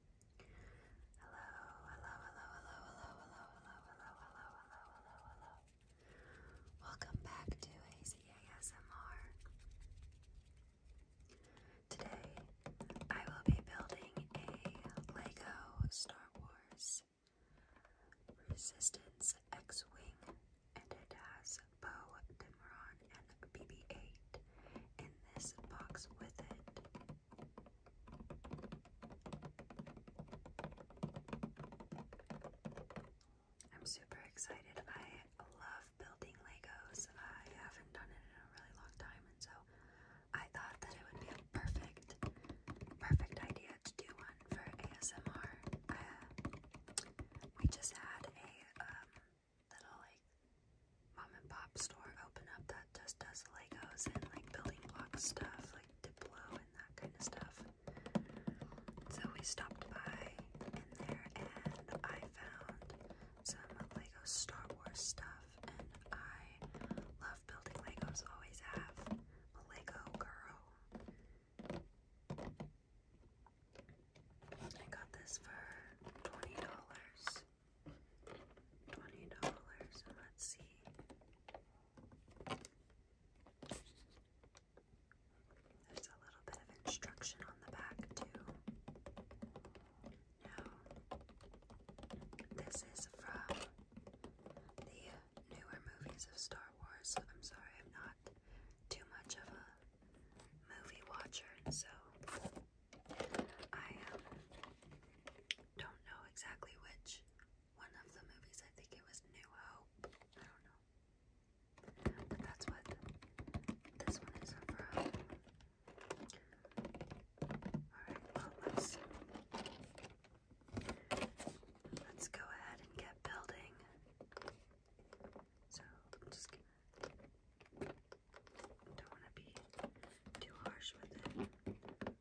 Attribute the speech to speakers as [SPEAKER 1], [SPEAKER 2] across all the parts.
[SPEAKER 1] hello, hello, hello, hello, hello, hello, hello, hello, hello, hello, hello. Welcome back to ACASMR. Today, I will be building a Lego Star Wars Resistance X-Wing, and it has Poe, Dimron, and BB-8 in this box with it. I'm super excited. I love building Legos. I haven't done it in a really long time, and so I thought that it would be a perfect, perfect idea to do one for ASMR. Uh, we just had a um, little like mom and pop store open up the that just does Legos and like building block stuff, like Diplo and that kind of stuff. So we stopped by in there and I found some Lego Star Wars stuff and I love building Legos, always have. A Lego girl. I got this for $20. Twenty dollars, and let's see. There's a little bit of instruction on the back too. Now, this is from the newer movies of Star Wars. I'm sorry, I'm not too much of a movie watcher, so I um, don't know exactly which one of the movies. I think it was New Hope. I don't know. But that's what this one is from. Alright, well let's let's go ahead and get building. So I'm just don't wanna be too harsh with it.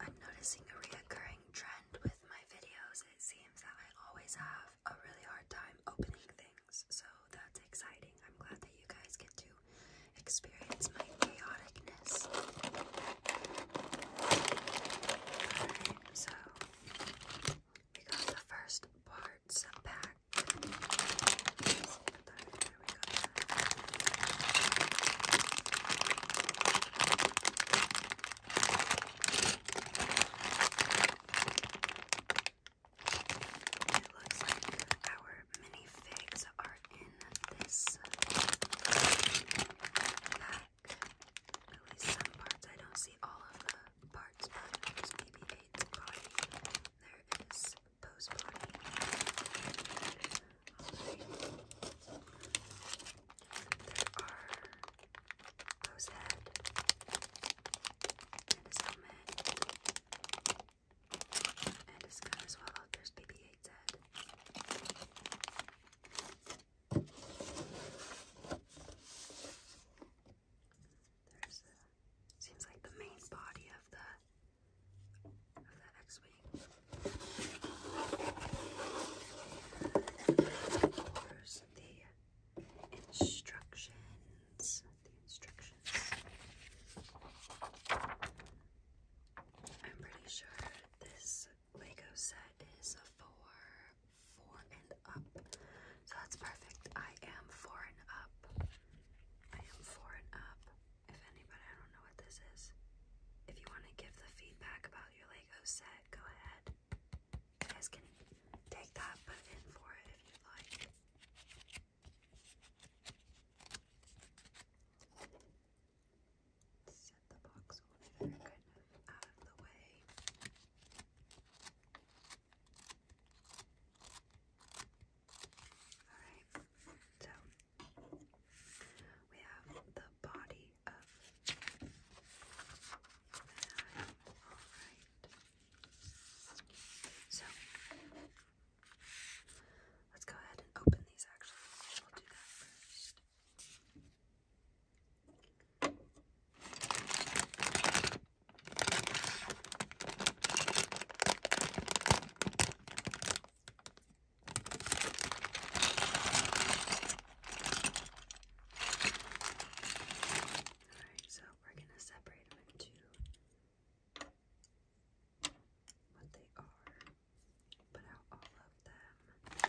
[SPEAKER 1] I'm noticing a reoccurring trend with my videos. It seems that I always have a really hard time opening things, so that's exciting. I'm glad that you guys get to experience my chaoticness. Alright, so we got the first parts back. It looks like our mini figs are in this pack. At least some parts. I don't see all of the parts, but maybe eight body. There is Pose body. There are Pose and his helmet. And his gun as well. there's BB-8's head seems like the main body of the of the X-wing. There's the instructions. The instructions. I'm pretty sure this Lego set is for four and up, so that's perfect. I am four and up. I am for it up. If anybody, I don't know what this is. If you want to give the feedback about your Lego set, go ahead. You guys can take that, put for it if you'd like. Set the box over there, kind of out of the way. Alright, so we have the body Alright. So let's go ahead and open these actually. We'll do that first. Alright, so we're going to separate them into what they are, put out all of them.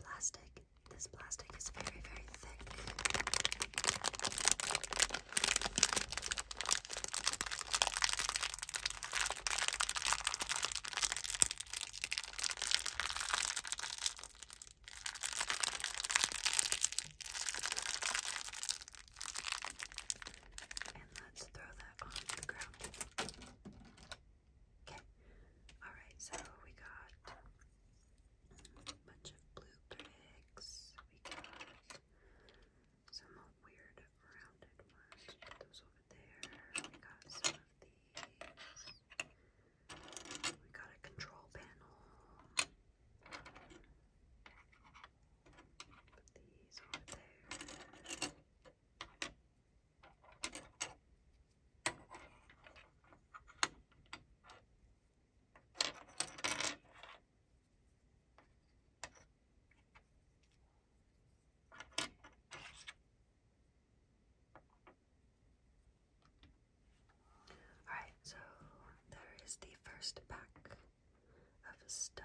[SPEAKER 1] Plastic. This plastic is very, very thick. And let's throw that on the ground. Okay. Alright, so we got a bunch of blue bricks. We got some weird rounded ones. Put those over there. We got some of these. We got a control panel. Put these over there. Alright, so there is the first pack of stuff.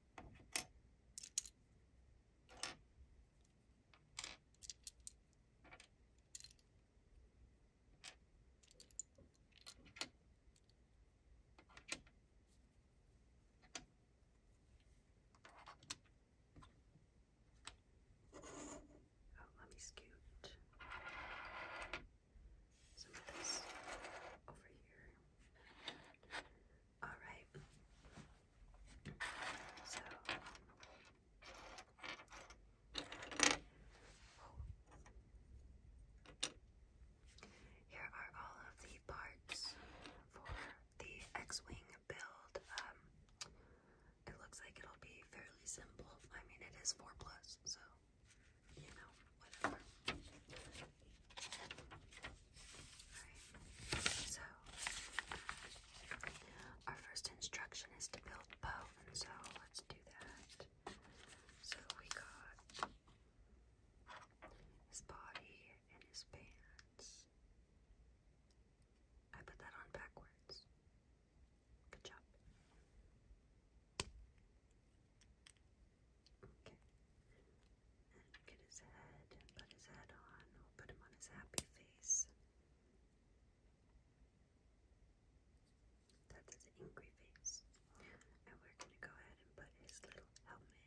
[SPEAKER 1] Oh, let me scoot some of this over here. All right. So. Here are all of the parts for the X-Wing build. Um, it looks like it'll be fairly simple. I mean, it is 4 plus, so, you know, whatever so our first instruction is to build bone, so let's do that. So we got his body and his pants. I put that on backwards. Good job. Okay. Get his head and put his head on. put him on his happy face. That's his angry face. And we're going to go ahead and put his little helmet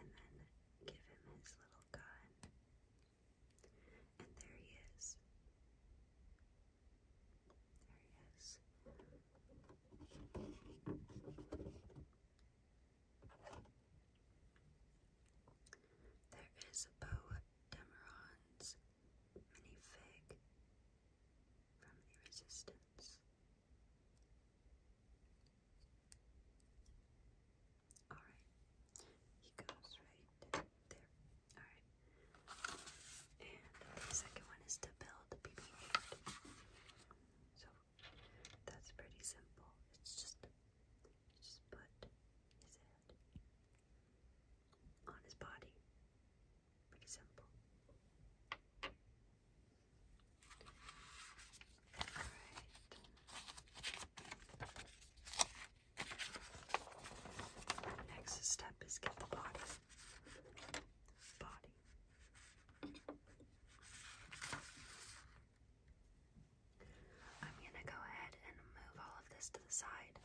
[SPEAKER 1] and then give him his little gun. And there he is. There he is. There is a Beau Demeron's minifig from the Resistance. Alright, he goes right there. Alright. And the second one is to build BB 8. So that's pretty simple. It's just, just put his head on his body. Pretty simple. Alright. Next step is get the body. Body. I'm going to go ahead and move all of this to the side.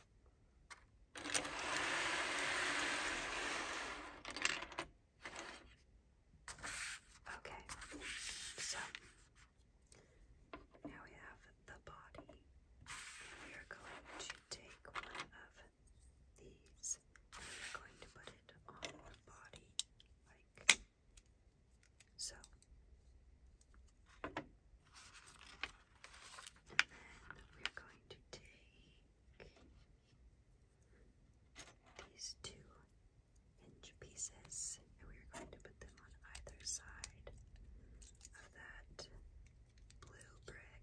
[SPEAKER 1] Okay, so now we have the body. We are going to take one of these this. i going to put it on the body like so. And then we're going to take these two hinge pieces and we're going to put them on either side of that blue brick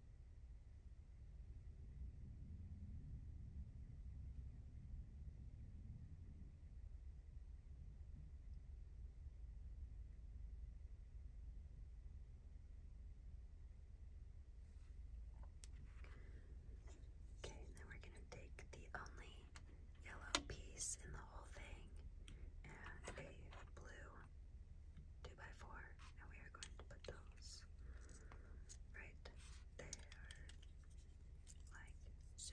[SPEAKER 1] Okay, and then we're going to take the only yellow piece in the whole thing and a blue two by four, and we are going to put those right there, like so.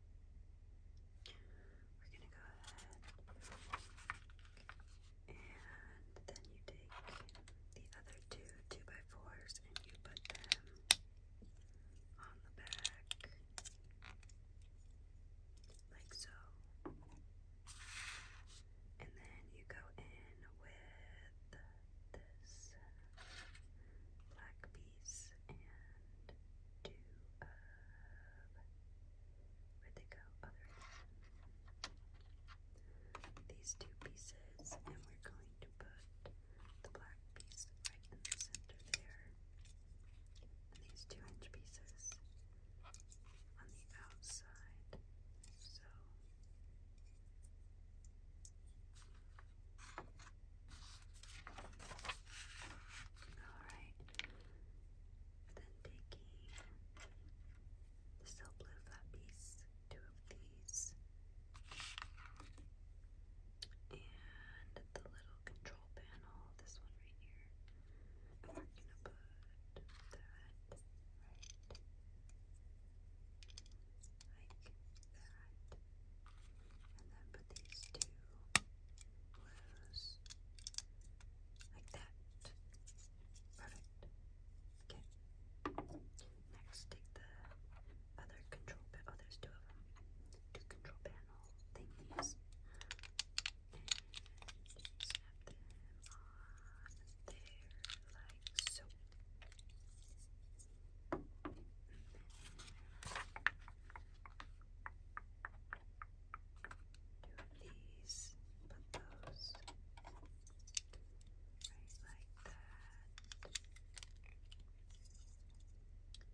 [SPEAKER 1] We're going to go ahead and then you take the other two 2x4s and you put them on the back like so. And then you go in with this black piece and do a Where'd they go? Oh, these two pieces, and we're going to put the black piece right in the center there. these two inch pieces on the outside. So. Alright, and then taking the still blue flat two of these, and the little control panel, this one right here. And we gonna put that right like that. And then put these two Close. Like that. Perfect. Okay. Next, take the other control Oh, there's two of them. Two control panel thingies. snap them on there, like so two of these, put those right like that.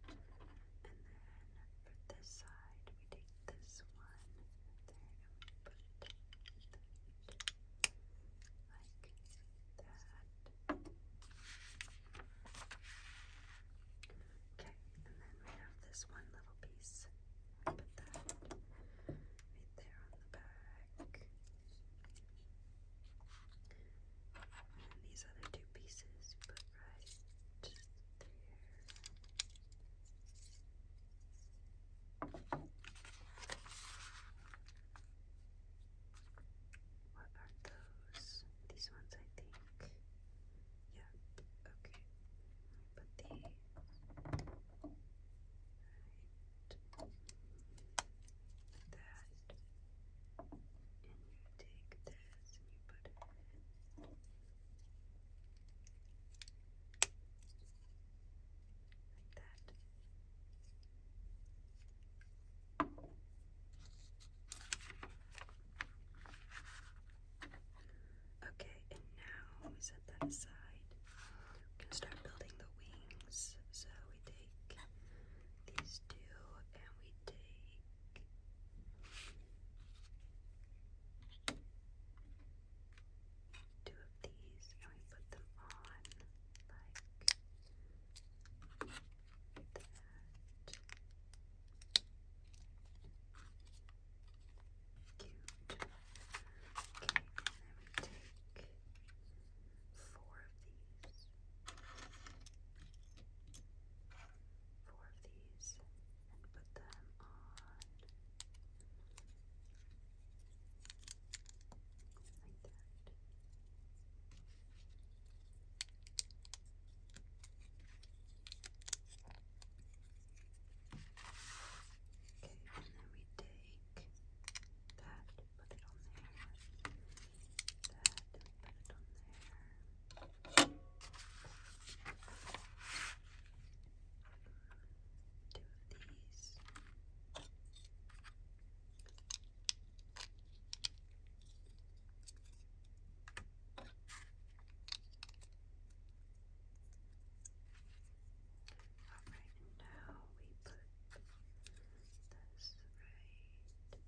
[SPEAKER 1] And then for this side, we take this one there and put that like that. Okay, and then we have this one little piece. Put that right there on the back. And these other two pieces put right there. What are those? These ones, I think. Yeah, okay. Put the that. And you take this and you put it Like that. Okay, and now we set that aside. We're gonna start building the wings. So we take these two and we take two of these and we put them on like that. Cute. Okay, and then take four of these. Four of these and put them on like that. And then we take that, put it on there. That, put it on there. Two of these. Alright, and now we put this right. Okay.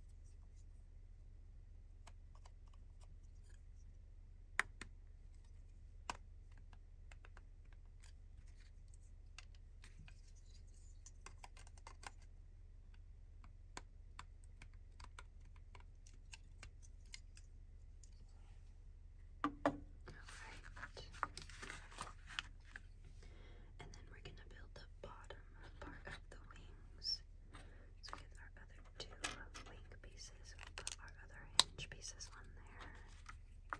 [SPEAKER 1] And then we're gonna build the bottom part of the wings. So with our other two wing pieces, we'll put our other hinge pieces on there. And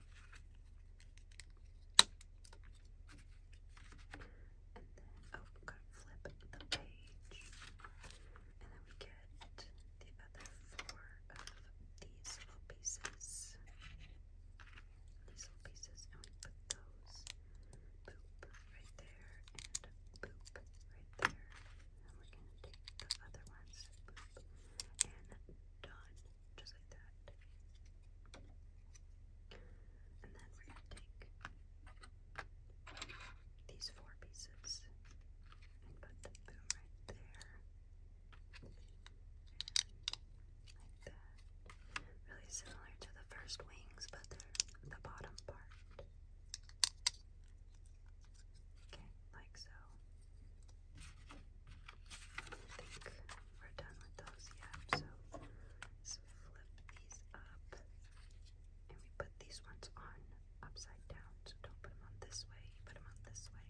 [SPEAKER 1] then, oh, gotta flip the page and then we get the other four of these little pieces. These little pieces, and we put those boop right there and boop right there. And we're gonna take the other ones, boop, and done, just like that. And then we're gonna take these four pieces and put the boom right there. like that. Really similar to the first wings, but the, the bottom part. Okay, like so. I think we're done with those yet, so let flip these up and we put these ones on upside down. So don't put them on this way, put them on this way.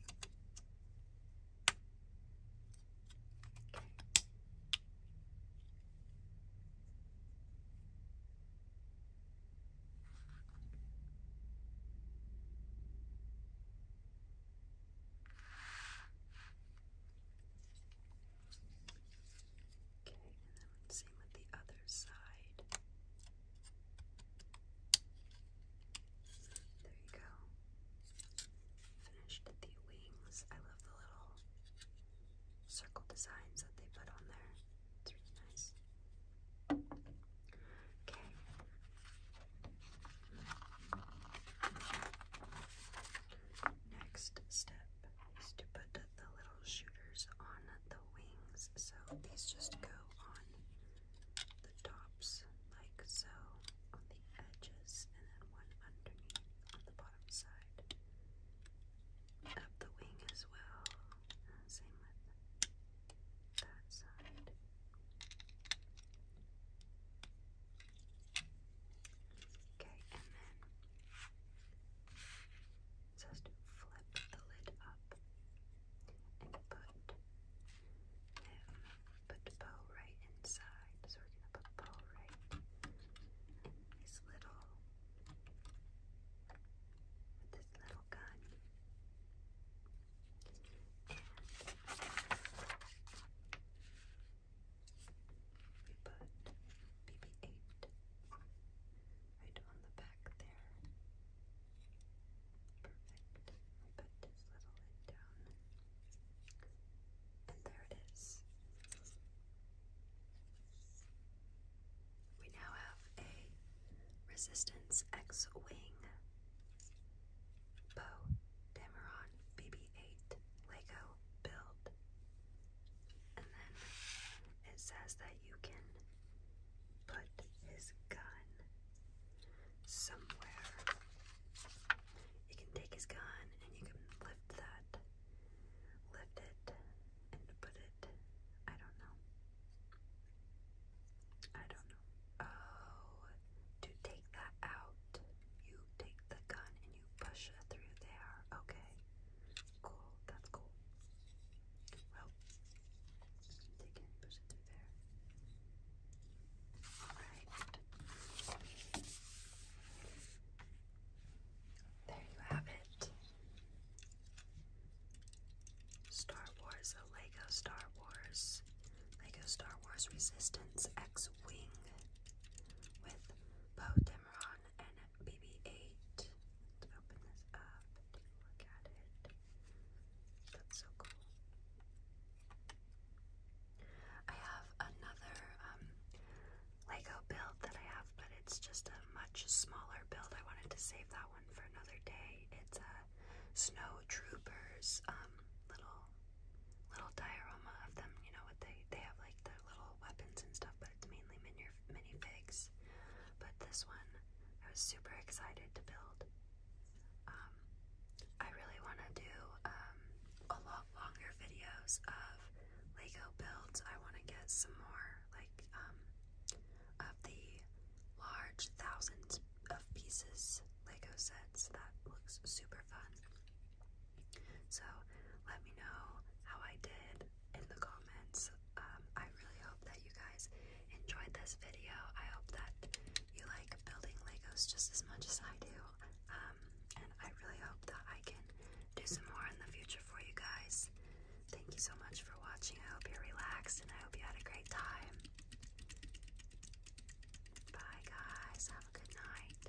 [SPEAKER 1] Okay, and then same with the other side. There you go. Finished the wings. I love the little circle designs that they put on there. It's really nice. Okay. Uh, next step is to put the little shooters on the wings. So these just go on the tops, like so, on the edges, and then one underneath on the bottom side of the wing as well. same with that side. Okay, and then just flip the lid up and put put Poe right inside. So we're gonna put Poe right his little this little gun. And we put BB-8 right on the back there. Perfect. I'll put this down. And there it is. We now have a Resistance X Wing Bo Dameron BB 8 Lego build. And then it says that you can put his gun somewhere. You can take his gun and you can lift that, lift it, and put it. I don't know. I don't know. Oh, to take that out, you take the gun and you push it through there. Okay. Cool, that's cool. Well, they can push it through there. Alright. There you have it. Star Wars, a Lego Star Wars, Lego Star Wars Resistance X Wing with Poe Dameron and BB-8. Let's open this up take a look at it. That's so cool. I have another um, Lego build that I have, but it's just a much smaller build. I wanted to save that one for another day. It's a Snow Troopers um, little little diorama of them. You know what they they have like the little weapons and stuff, but it's mainly mini minifigs. But this one, I was super excited to build. Um, I really want to do um, a lot longer videos of Lego builds. I want to get some more like um, of the large thousands of pieces Lego sets. That looks super fun. So let me know how I did in the comments. Um, I really hope that you guys enjoyed this video. I hope that you like building Legos just as much as I do. Um, and I really hope that I can do some more in the future for you guys. Thank you so much for watching. I hope you're relaxed and I hope you had a great time. Bye, guys. Have a good night.